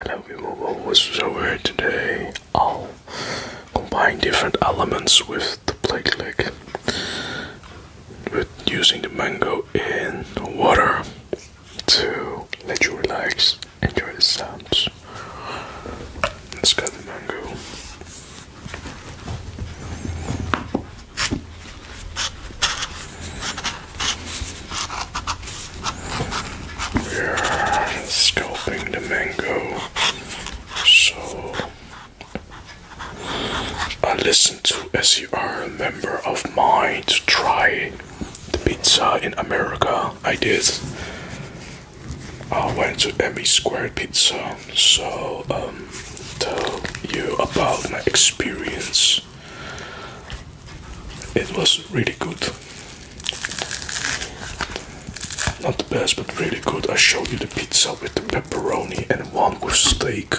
Hello people, what's over here today? I'll oh, combine different elements with the play click with using the mango in water to let you relax, enjoy the sounds. Let's cut the mango. We're scalping the mango. So I listened to SER, a member of mine, to try the pizza in America. I did. I went to Emmy Squared Pizza, so um, tell you about my experience. It was really good. Not the best, but really good. I showed you the pizza with the pepperoni and one with steak.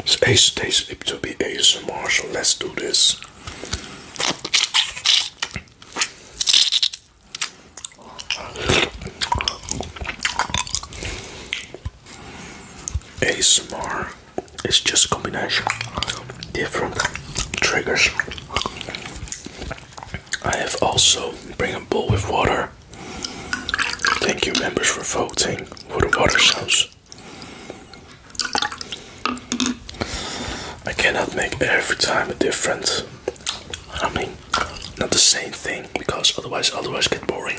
It's Ace Day Sleep to be ASMR, so let's do this. ASMR is just combination of different triggers. I have also bring a bowl with water. Thank you members for voting for the water sounds. I cannot make every time a difference. I mean not the same thing because otherwise otherwise get boring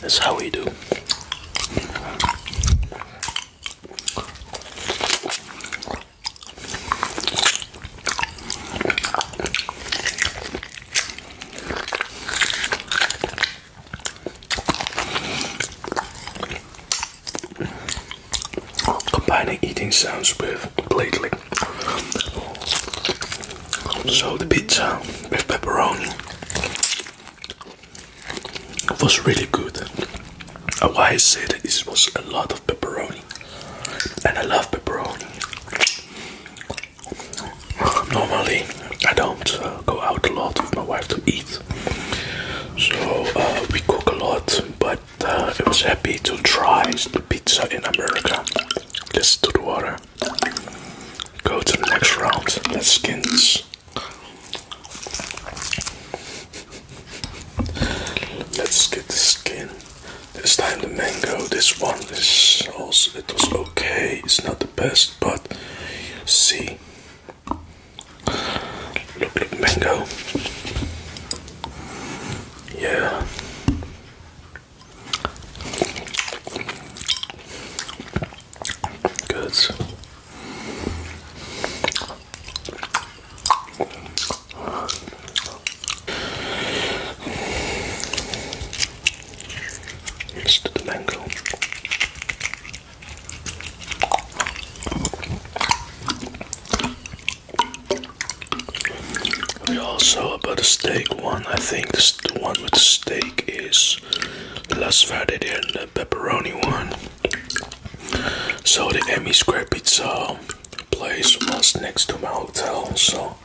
That's how we do. Combining eating sounds with platelet so the pizza with pepperoni was really good. Why I say that this was a lot of pepperoni, and I love pepperoni. Normally, I don't uh, go out a lot with my wife to eat, so uh, we cook a lot. But uh, I was happy to try the pizza in America. Just to the water. Go to the next round. That's skins. Let's get the skin. This time the mango. This one is also it was okay. It's not the best, but see. Look, look, mango. Yeah. Goods. Next to the mango. We also about the steak one. I think this is the one with the steak is less Friday than the pepperoni one. So the Emmy Square Pizza place was next to my hotel, so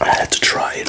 I had to try it.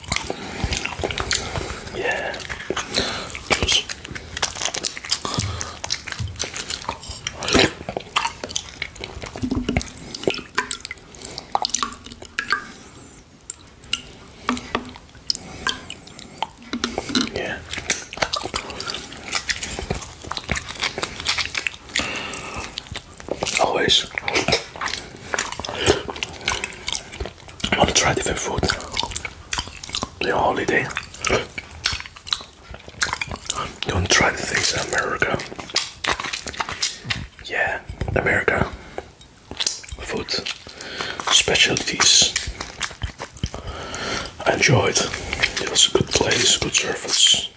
Yeah. Just yeah. Always I want to try different food. The holiday. do to try the things in America. Yeah, America. Food. Specialties. I enjoyed. It was a good place, good service.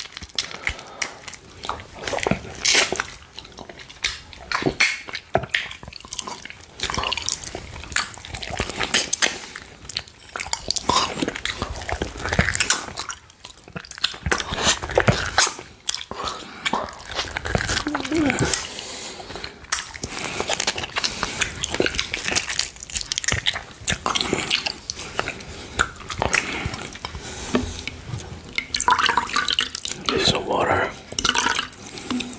This is the water.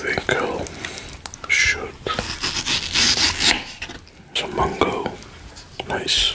think i shoot some mango. Nice.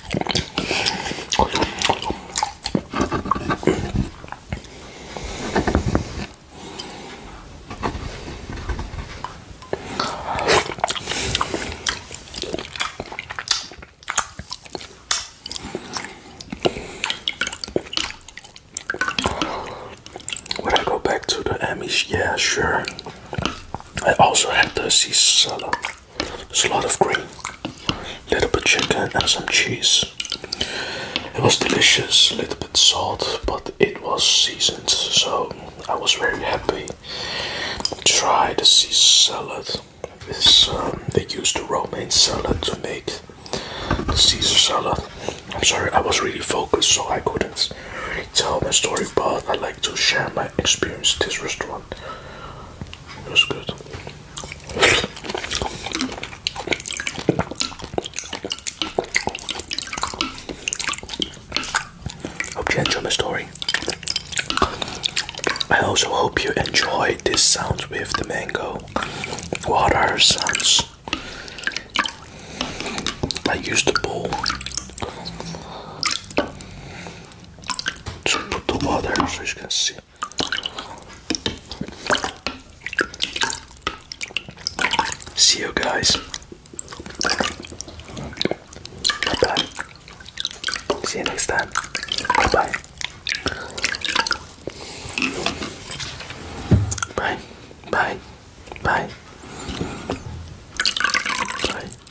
Would I go back to the Emmys? Yeah, sure. I also have to see Cicella. There's a lot of green, a little bit chicken and some cheese. It was delicious, a little bit salt, but it was seasoned, so I was very happy. Try the Caesar salad. This um, they used the romaine salad to make the Caesar salad. I'm sorry, I was really focused, so I couldn't really tell my story, but I like to share my experience at this restaurant on. was good. Hope you enjoy my story. I also hope you enjoy this sound with the mango water sounds. I used the bowl. Just put the water so you can see. See you guys. Bye bye. See you next time. bye. Bye. Bye. Bye. Bye.